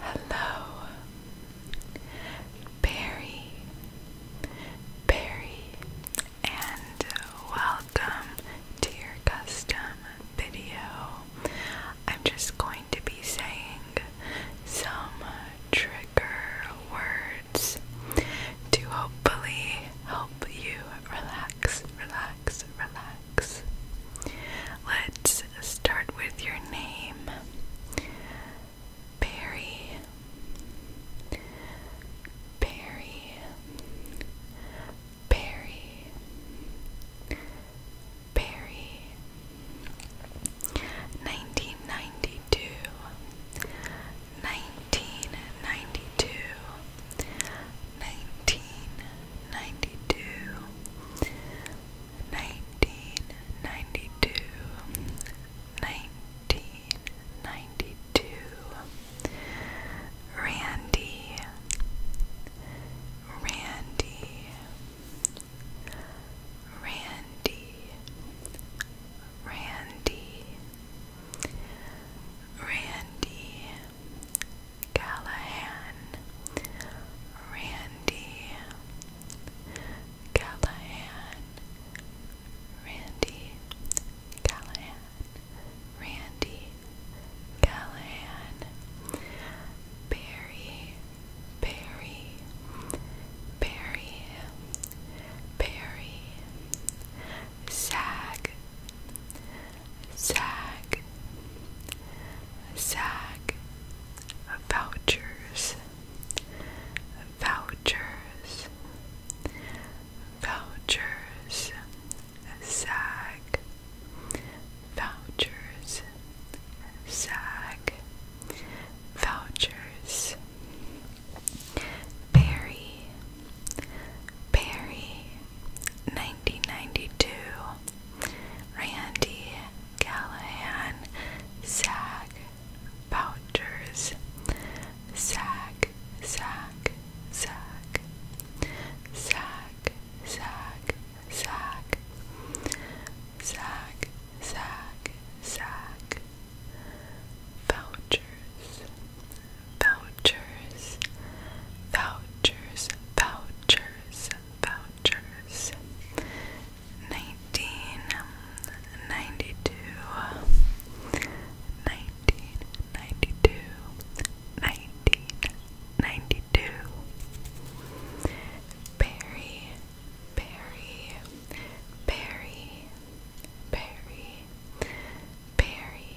Hello, Barry, Barry, and welcome to your custom video. I'm just going to be saying some trigger words to hopefully help you relax, relax, relax. Let's start with your name. Barry. Barry. Barry. Barry. 1992. 1992. 1992. 92 1992 1992 Randy Randy Randy Randy Randy Callahan, Randy, Callahan, Randy, Callahan, Randy, Callahan, Barry, Barry, Barry, Barry, Sag, Zag, Zag, vouchers, vouchers, vouchers, Zag, vouchers, Zag, vouchers, berry, berry. 1992, Randy Callahan, Zach Bouchers, Zach, Zach, Zach, Zach, Zach, Zach, Zach, Zach, Zach, Bouchers, Bouchers vouchers, vouchers, vouchers, vouchers. 1992 Barry Barry Barry Barry Barry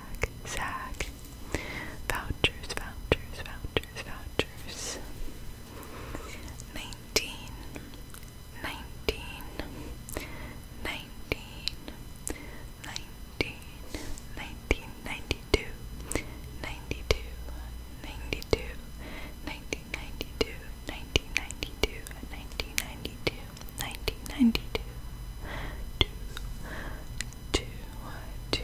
Zag, Zag. Vouchers, vouchers, vouchers, vouchers. 19, 1992 to, to, to,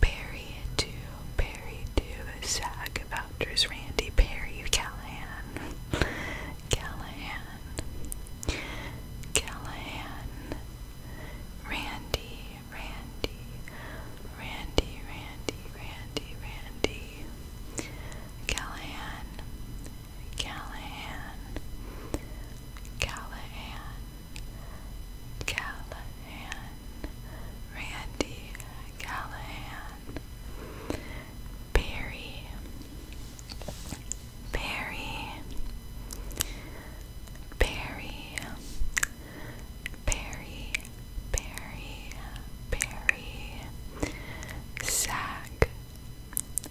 Perry to, Perry to, Zach Vouchers, Randy Perry, Callahan, Callahan, Callahan, Randy, Randy, Randy, Randy, Randy, Randy, Callahan, Callahan, Callahan, Callahan, Randy Callahan, Barry, Barry, Barry, Barry, Barry, Barry, Zach.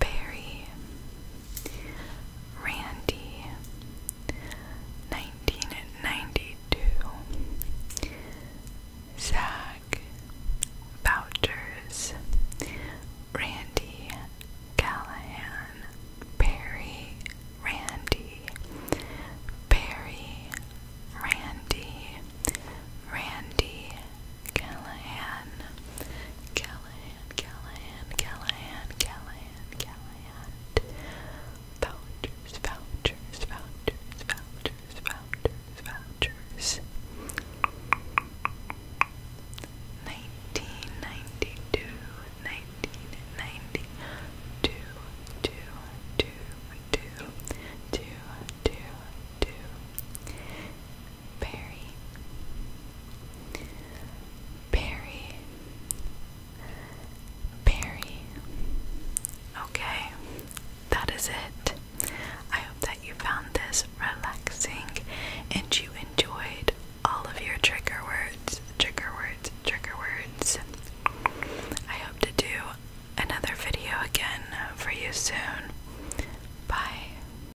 Barry, Randy, 1992, Zach, Bouchers, Randy, Callahan, Barry, Randy, Barry, Randy, Randy, Callahan, Callahan, Callahan, Callahan, Callahan, Callahan. Vouchers, vouchers, vouchers, vouchers, vouchers, vouchers. 1992, 1992, two, two, two, two, two, two. Perry. Perry. Perry. Okay, that is it. I hope that you found this relaxing and you enjoyed all of your trigger words, trigger words, trigger words. I hope to do another video again for you soon. Bye.